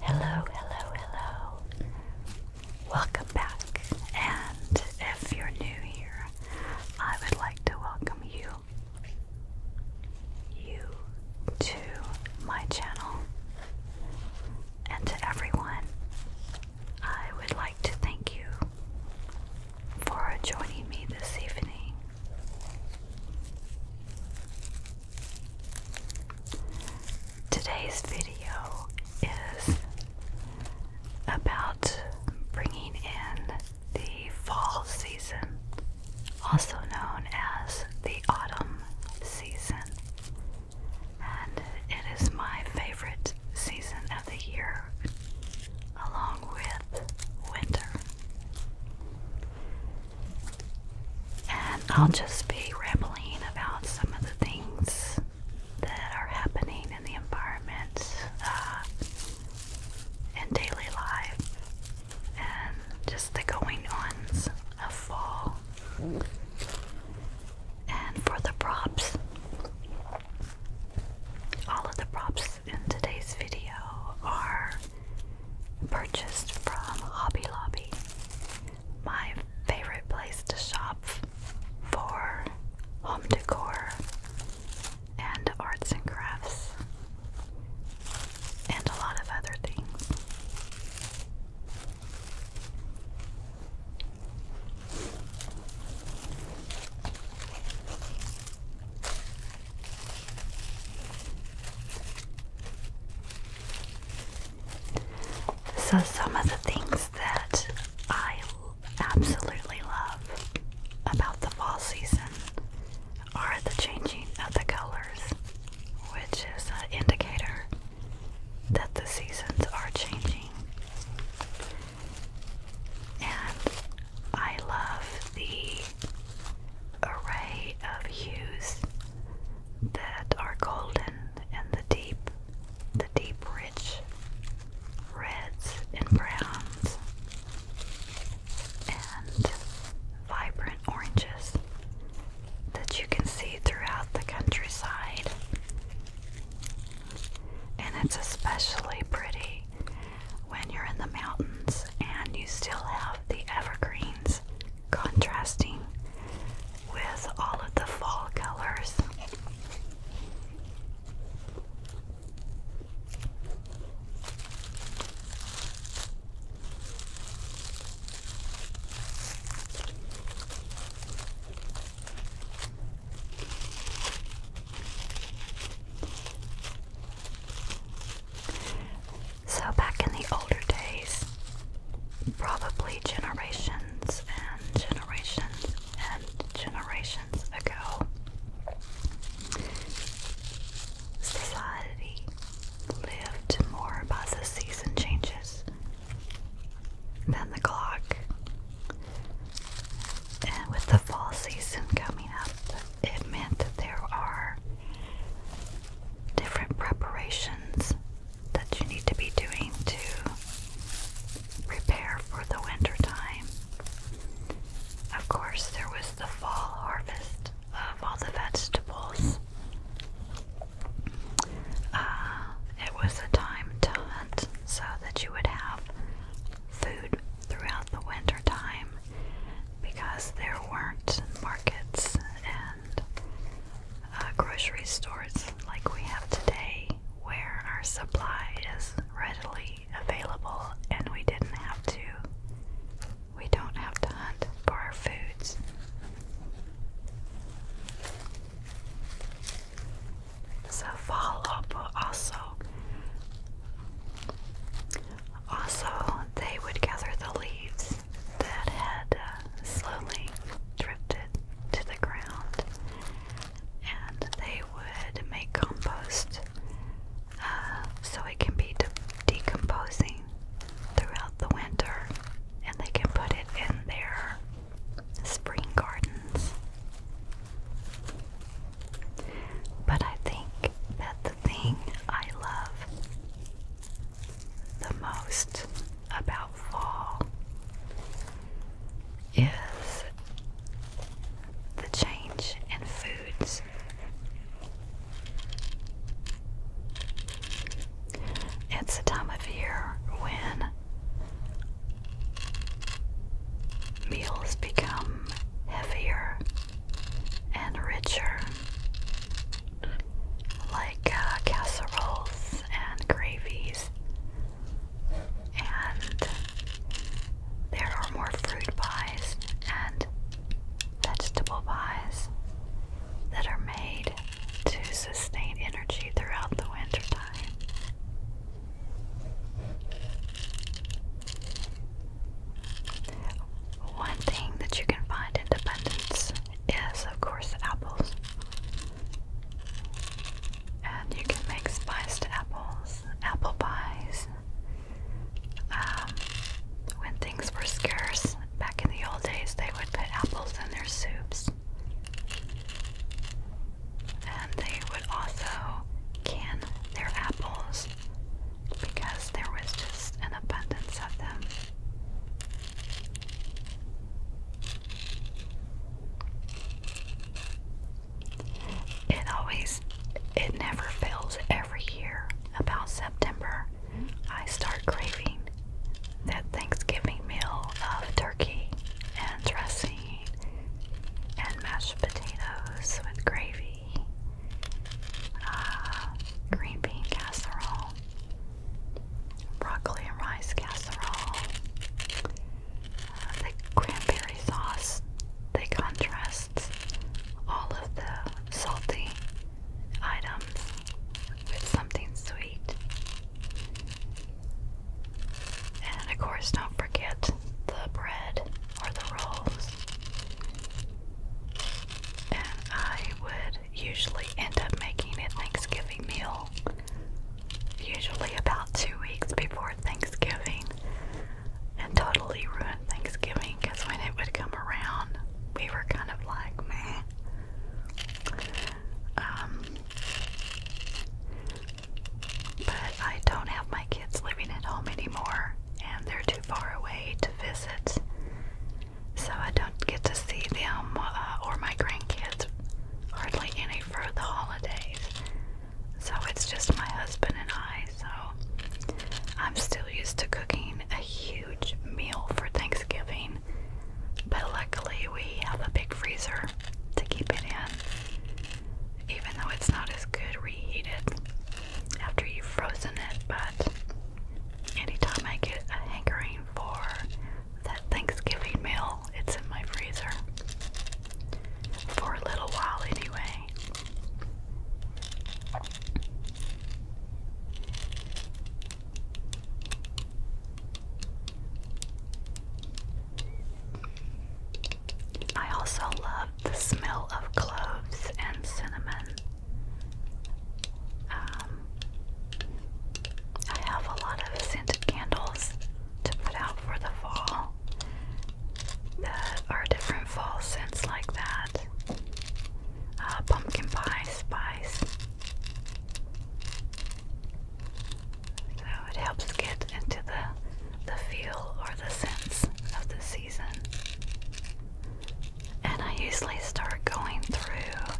Hello, hello, hello. Welcome back. And if you're new here, I would like to welcome you you to my channel. And to everyone, I would like to thank you for joining me this evening Today's video is about bringing in the fall season, also known as the autumn season. And it is my favorite season of the year along with winter. And I'll just be rambling about some of the things that are happening in the environment uh, and daily life and just the going ons of fall. And for the props, all of the props in today's video are purchased from Hobby Lobby, my favorite place to shop for home decor and arts and crafts, and a lot of other things. So, some of the things that I absolutely love about the fall season are the changing of the colors, which is an indicator that the seasons are changing. And I love the array of hues that are golden and the deep, the deep rich reds and browns and vibrant oranges that you can see throughout the countryside. And it's especially pretty when you're in the mountains and you still have the evergreens contrasting with all of the fall colors. So, back in the older days, probably generations and generations and generations ago, society lived more by the season changes than the clock. And with the fall season coming up, it meant there are different preparations that you need to be doing to prepare for the winter time. Of course, there was the fall harvest of all the vegetables. Uh, it was a time to hunt so that you would have food throughout the winter time because there weren't markets and uh, grocery stores like we have today where our supply is readily available and we didn't have to we don't have to hunt for our foods. So fall also also, they would gather the leaves that had uh, slowly drifted to the ground and they would make compost uh, so it can be decomposing throughout the winter and they can put it in their spring gardens. But I think that the thing I love the most about fall is the change in foods. It's a time of year when meals become heavier and richer, like uh, casseroles and gravies, and there are more fruit pies and vegetable pies that are made to sustain energy throughout the winter time. One thing that you can find in abundance is, of course, apples. And you can make spiced apples, apple pies. Um, when things were scarce back in the old days, they would put apples in their soups. And they would also can their apples because there was just an abundance of them. It always, it never fails every year. About September, I start craving that Thanksgiving meal of turkey and dressing and mashed potatoes with gravy. Uh, green bean casserole, broccoli and rice casserole, uh, the cranberry sauce. They contrast all of the salty items with something sweet. And of course, don't forget the bread or the rolls. And I would usually end up making a Thanksgiving meal, usually about two weeks before Thanksgiving, and totally ruined Thanksgiving because when it would come around, we were kind of like, meh. Um, but I don't have my it's living at home anymore and they're too far away to visit. So I don't get to see them uh, or my grandkids hardly any for the holidays. So it's just my husband and I. So I'm still used to cooking a huge meal for Thanksgiving, but luckily we have a big freezer to keep it in, even though it's not as good reheated after you've frozen it, but anytime I get a hankering for that Thanksgiving meal, it's in my freezer. For a little while, anyway. I also love the smell of cloves and cinnamon. Um, I have a lot of scented candles to put out for the fall that are different fall scents like that uh, pumpkin pie spice. So it helps get into the the feel or the sense of the and I usually start going through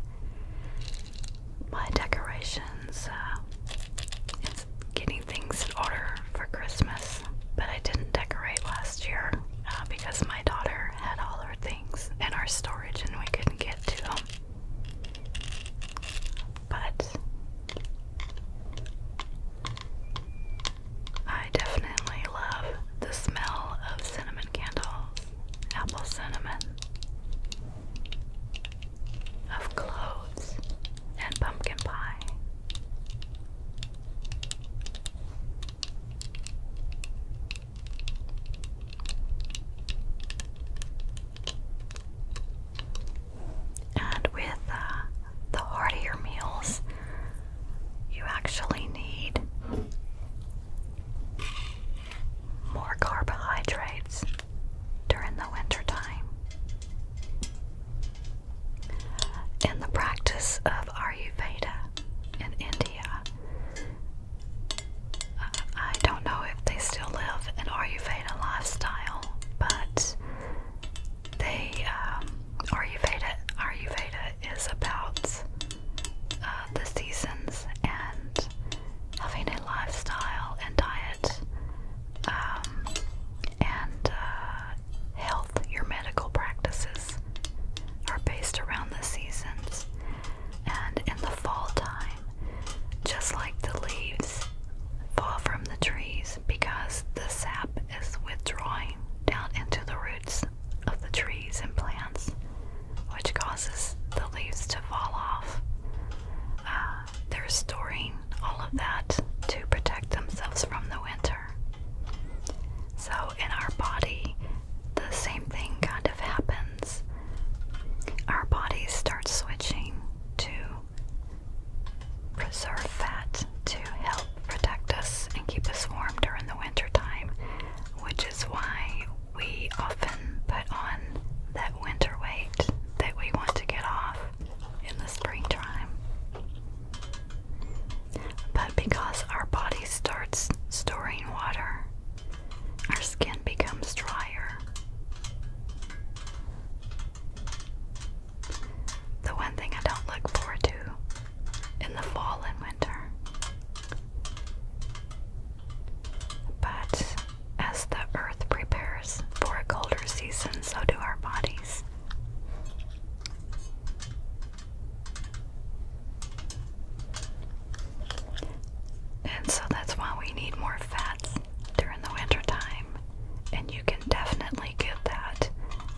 my decorations and uh, getting things in order for Christmas. But I didn't decorate last year uh, because my daughter had all her things in our storage and we couldn't get to them. But I definitely love the smell of cinnamon candles, apple cinnamon, of cloves, and pumpkin pie. And with uh, the heartier meals, you actually need more carbohydrates during the winter time. In the practice of Ayurveda in India, uh, I don't know if they still live an Ayurveda lifestyle, but they um, Ayurveda Ayurveda is about uh, the seasons and having a lifestyle and diet um, and uh, health. Your medical practices are based around the seasons, and in the fall time, just like the leaves fall from the trees because the sap is withdrawing down into the roots of the trees and plants, which causes the leaves to fall off. Uh, they're storing all of that to protect themselves from the winter. So, in our body, the same thing kind of happens. Our bodies start switching to preserve fat to help protect us and keep us warm during the winter time, which is why we often put on that winter weight that we want to get off in the springtime. But because our body starts storing water, our skin becomes drier. The one thing I don't look forward to in the fall and winter. But as the earth prepares for a colder season, so do our bodies. And so that's why we need more fats during the winter time you can definitely get that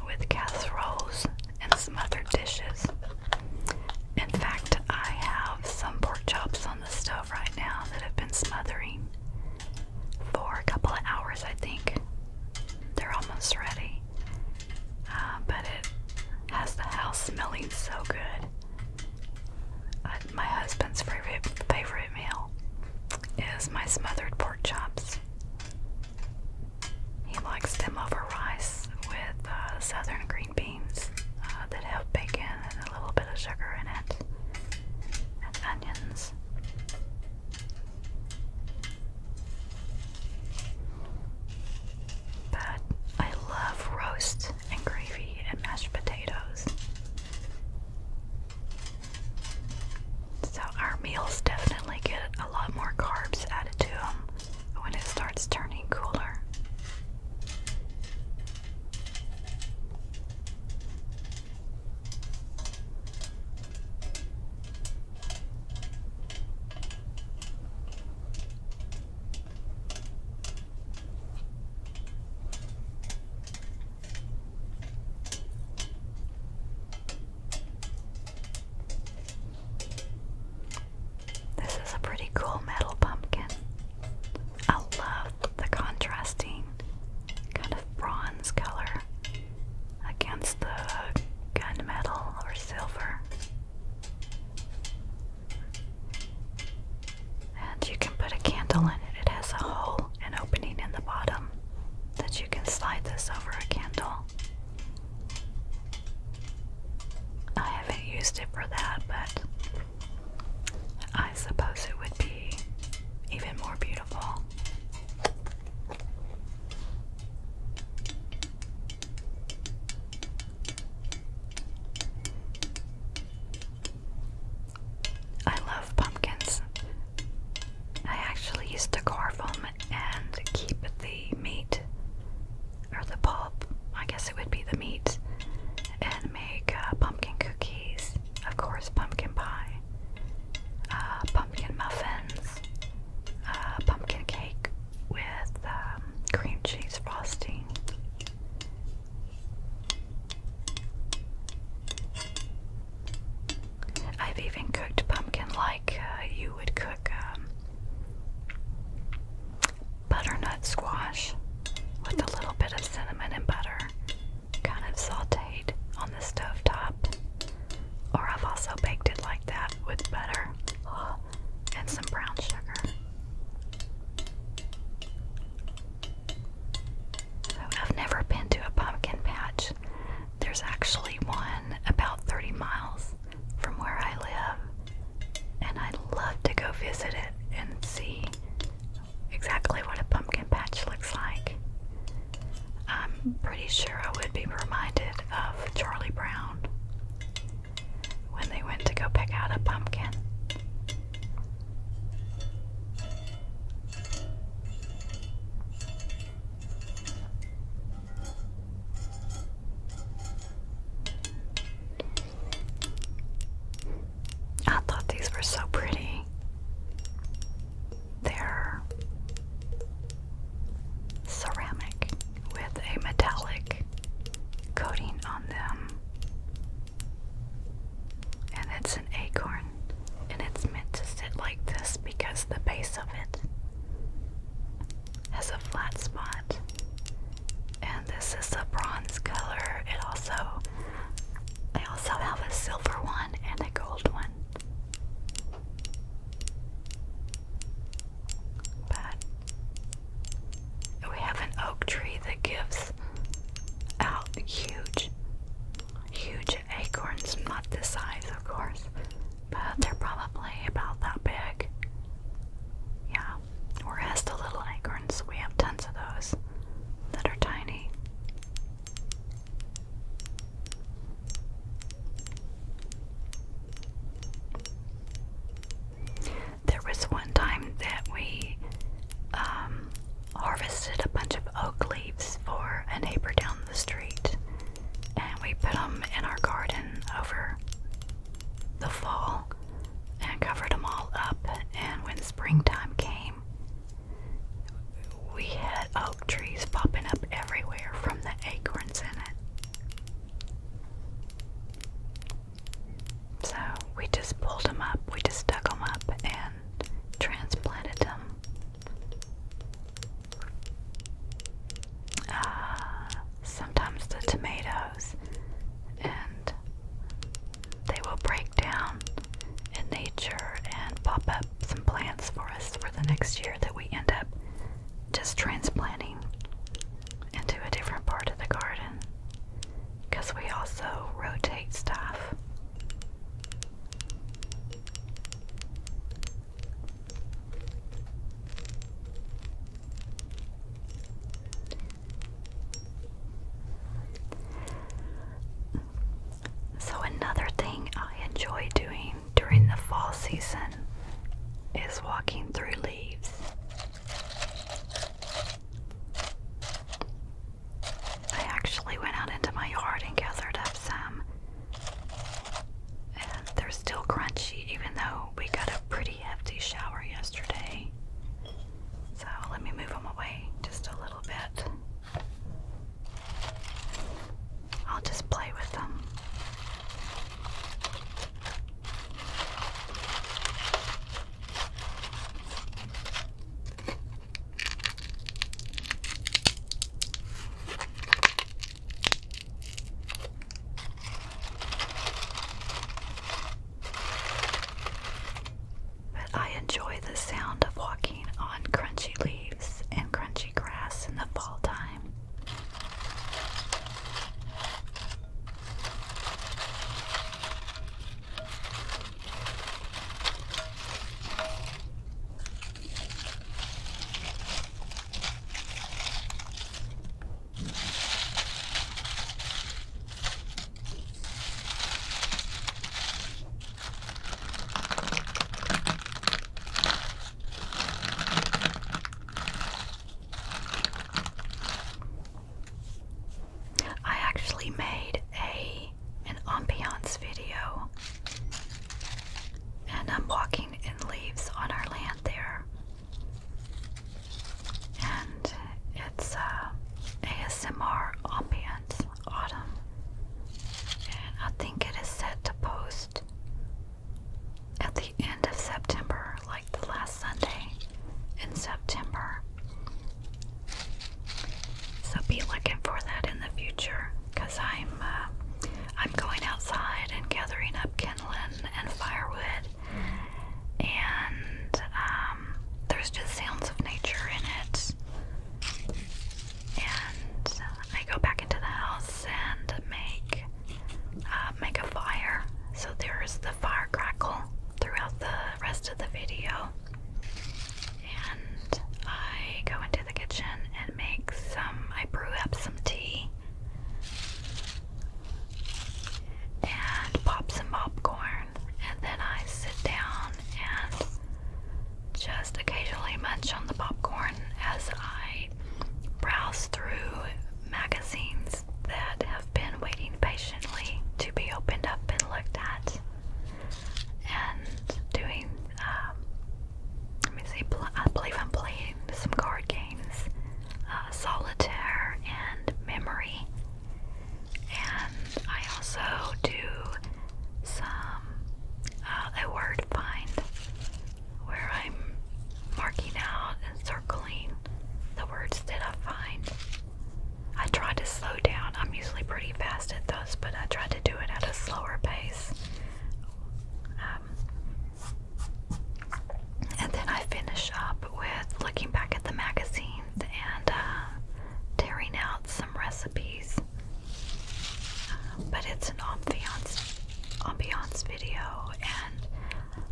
with casseroles and some other dishes. In fact, I have some pork chops on the stove right now that have been smothering for a couple of hours, I think. They're almost ready. Uh, but it has the house smelling so good. Uh, my husband's favorite, favorite meal is my smothered pork chops. He likes them over rice with uh, southern green beans uh, that have bacon and a little bit of sugar in it, and onions. But I love roast and gravy and mashed potatoes. So our meals definitely get a lot more carbs added to them when it starts turning cooler. This is a pretty cool metal pumpkin. I love the contrasting kind of bronze color against the kind of metal or silver. And you can put a candle in it. It has a hole, an opening in the bottom that you can slide this over a candle. I haven't used it for that, but I suppose it would be even more beautiful. I love pumpkins. I actually used to carve them and keep the meat or the pulp, I guess it would be the meat, and make uh, pumpkin cookies, of course, pumpkin pie, uh, pumpkin muffins, uh, pumpkin cake with um, cream cheese frosting. I've even cooked pumpkin like uh, you would cook um, butternut squash with a little bit of cinnamon and butter, kind of sauteed on the stove top. Or I've also baked it like that with butter and some brown sugar. I've never been to a pumpkin patch there's actually one about 30 miles from where I live, and I'd love to go visit it and see exactly what a pumpkin patch looks like. I'm pretty sure I would be reminded of Charlie Brown when they went to go pick out a pumpkin. I thought these were so pretty. They're ceramic with a metallic coating on them. And it's an acorn. And it's meant to sit like this because the base it has a flat spot, and this is a bronze color. It also, I also have a silver one and a gold one, but we have an oak tree that gives out huge, huge acorns, not this size, of course, but they're probably about that big. Yeah, or as the little acorns, we have tons of those that are tiny. There was one time that we um, harvested a bunch of oak leaves for a neighbor down the street and we put them in our garden over the fall and covered them all up. And when springtime came, we had oak trees popping up everywhere from the acorns in it. So we just pulled them up, we just dug them up and transplanted them uh, sometimes the tomatoes, and they will break down in nature and pop up some plants for us for the next year that we end up just transplanting into a different part of the garden because we also rotate stuff. So, another thing I enjoy doing during the fall season is walking through leaves. I actually went out into my yard and gathered up some and they're still crunchy, even though we got a pretty hefty shower yesterday. So let me move them away just a little bit. I'll just play with them. But I enjoy the sound of walking on crunchy leaves and crunchy grass in the fall time. I actually made a an ambiance video and I'm walking in leaves on our land there. And it's uh, ASMR Ambience Autumn. And I think it is set to post at the end of September, like the last Sunday in September. So be looking for that in the future because I'm uh, I'm going outside and gathering up kindling and firewood, and um, there's just sounds of nature in it. And uh, I go back into the house and make uh, make a fire. So there's the fire crackle throughout the rest of the video, and I go into the kitchen and make some, I brew up some tea and pop some popcorn, and then I sit down and just occasionally munch on the popcorn as I browse through magazines that have been waiting patiently to be opened up and looked at, and doing um, let me see, I believe I'm playing some card games uh, solitaire and memory. And I also do some uh, a word find where I'm marking out and circling the words that I find. I try to slow down. I'm usually pretty fast at those, but I try to do it at a slower pace um, and then I finish up with looking back at the magazines and uh, tearing out some recipes. but it's an ambiance, ambiance video, and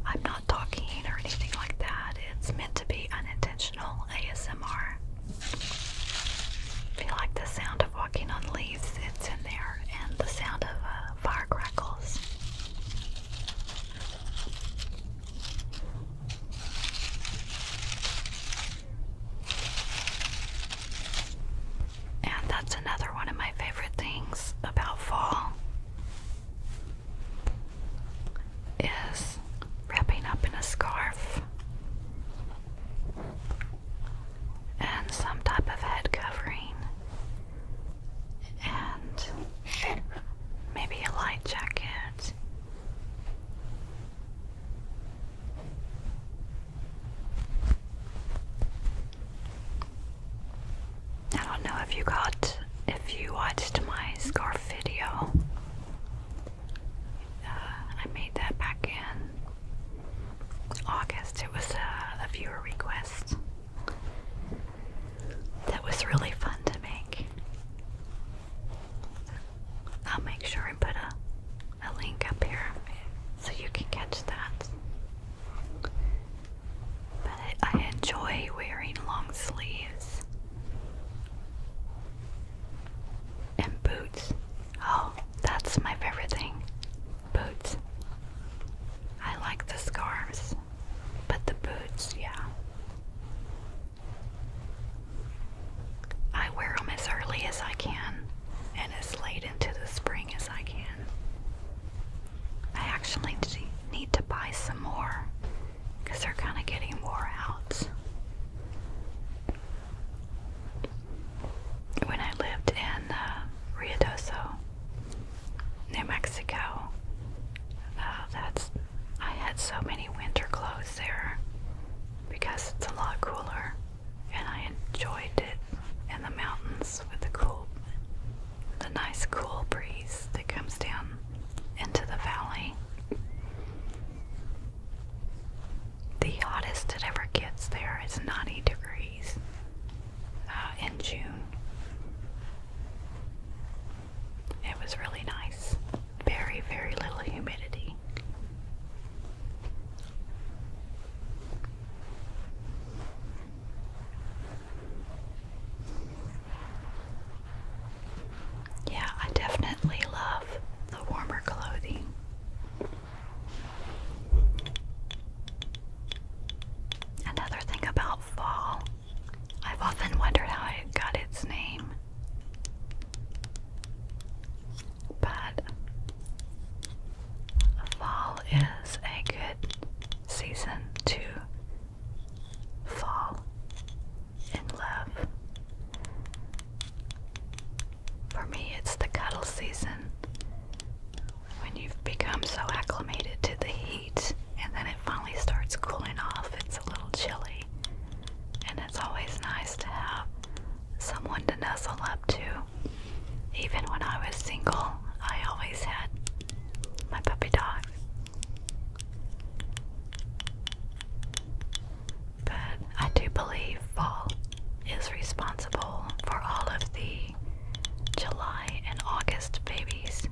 I'm not talking or anything like that. It's meant to be unintentional ASMR. If you like the sound of walking on leaves, it's in and the sound of uh, fire crackles. And that's another one of my favorite things about fall is wrapping up in a scarf and some type of head covering and maybe a light jacket. I don't know if you got if you watched my scarf video. Uh, I made that back in August. It was a, viewer request that was really fun to make. I'll make sure I put a, a link up here so you can catch that. But I enjoy wearing long sleeves and boots. Oh, that's my favorite thing boots. I like the scarves, but the boots, yeah. I wear them as early as I can and as late into the spring as I can. I actually need to buy some more because they're kind of getting wore out when I lived in uh, Rio Doce, New Mexico. Uh, that's I had so many winter clothes there because it's a lot cooler, and I enjoyed it in the mountains with the cool, the nice cool breeze that comes down into the valley. The hottest it ever gets there is 90 degrees uh, in June. It was really nice. Very, very little humidity. Yeah, I definitely love the warmer clothing. Another thing about fall, I've often wondered how it got its name. But fall is a good season to fall in love. For me, it's the cuddle season. When you've become so acclimated to the heat and then it finally starts cooling off, it's a little chilly. And it's always nice to have someone to nuzzle up to. Even when I was single, I always had my puppy dog. But I do believe fall is responsible for all of the July and August babies.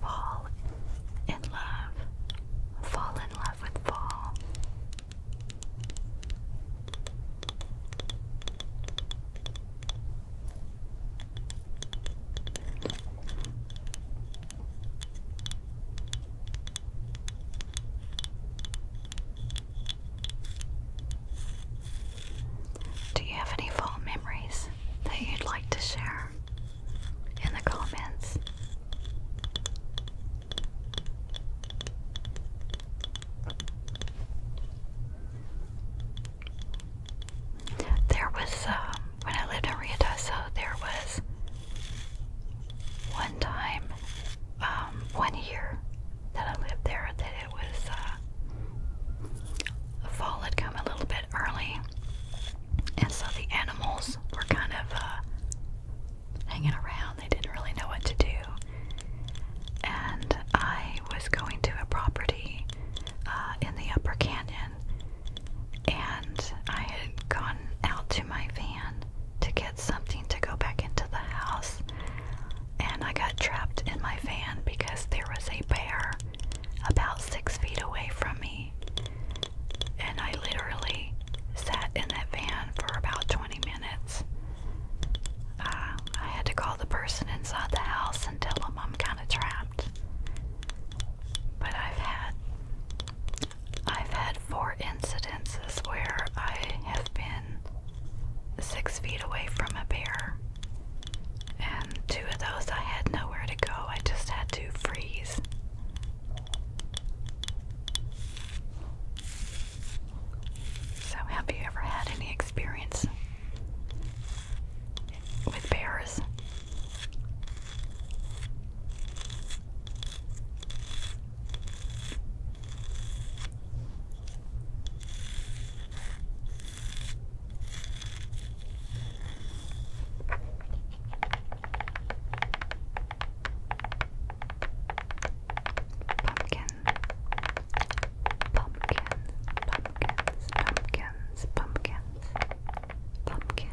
Fall in love. Fall in love with fall. Do you have any fall memories that you'd like to share in the comments? There was, um, when I lived in Riadoso, there was one time, um, one year that I lived there, that it was, uh, fall had come a little bit early, and so the animals were kind of, uh, hanging around. They didn't really know what to do. And I was going to a property uh, in the upper canyon, and I had gone out to my van to get something to go back into the house, and I got trapped in my van because there was a bear about six feet away from me, and I literally sat in that van for about 20 minutes. Uh, I had to call the person inside the house and tell them I'm kind of trapped. But I've had I've had four incidences where I have been six feet away from a bear. And two of those I had nowhere to go. I just had to freeze. So, have you ever had any experience with bears. Pumpkin Pumpkins, pumpkins, pumpkins, pumpkins, pumpkin, pumpkins.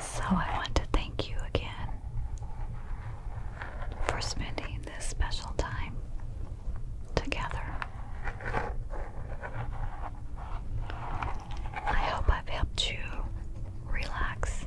So, I want to thank you again for spending this special time together. I hope I've helped you relax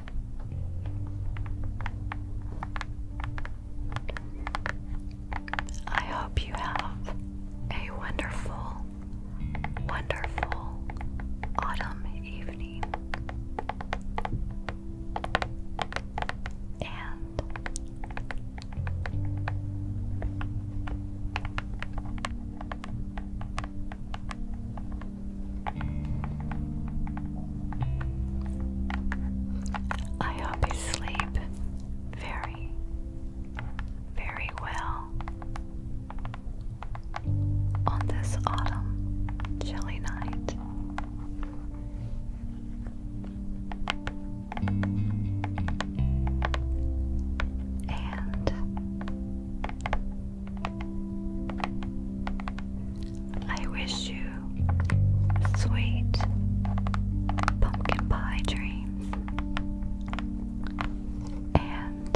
I hope you have a wonderful, wonderful autumn evening. And I hope you sleep very, very well on this autumn chilly night. And I wish you sweet pumpkin pie dreams and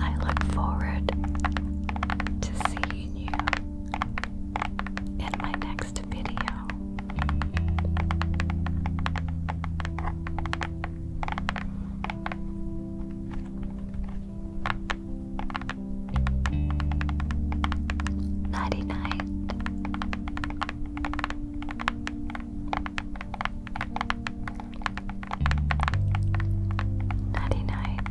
I look forward to seeing you in my next video now. Nighty night. Nighty night.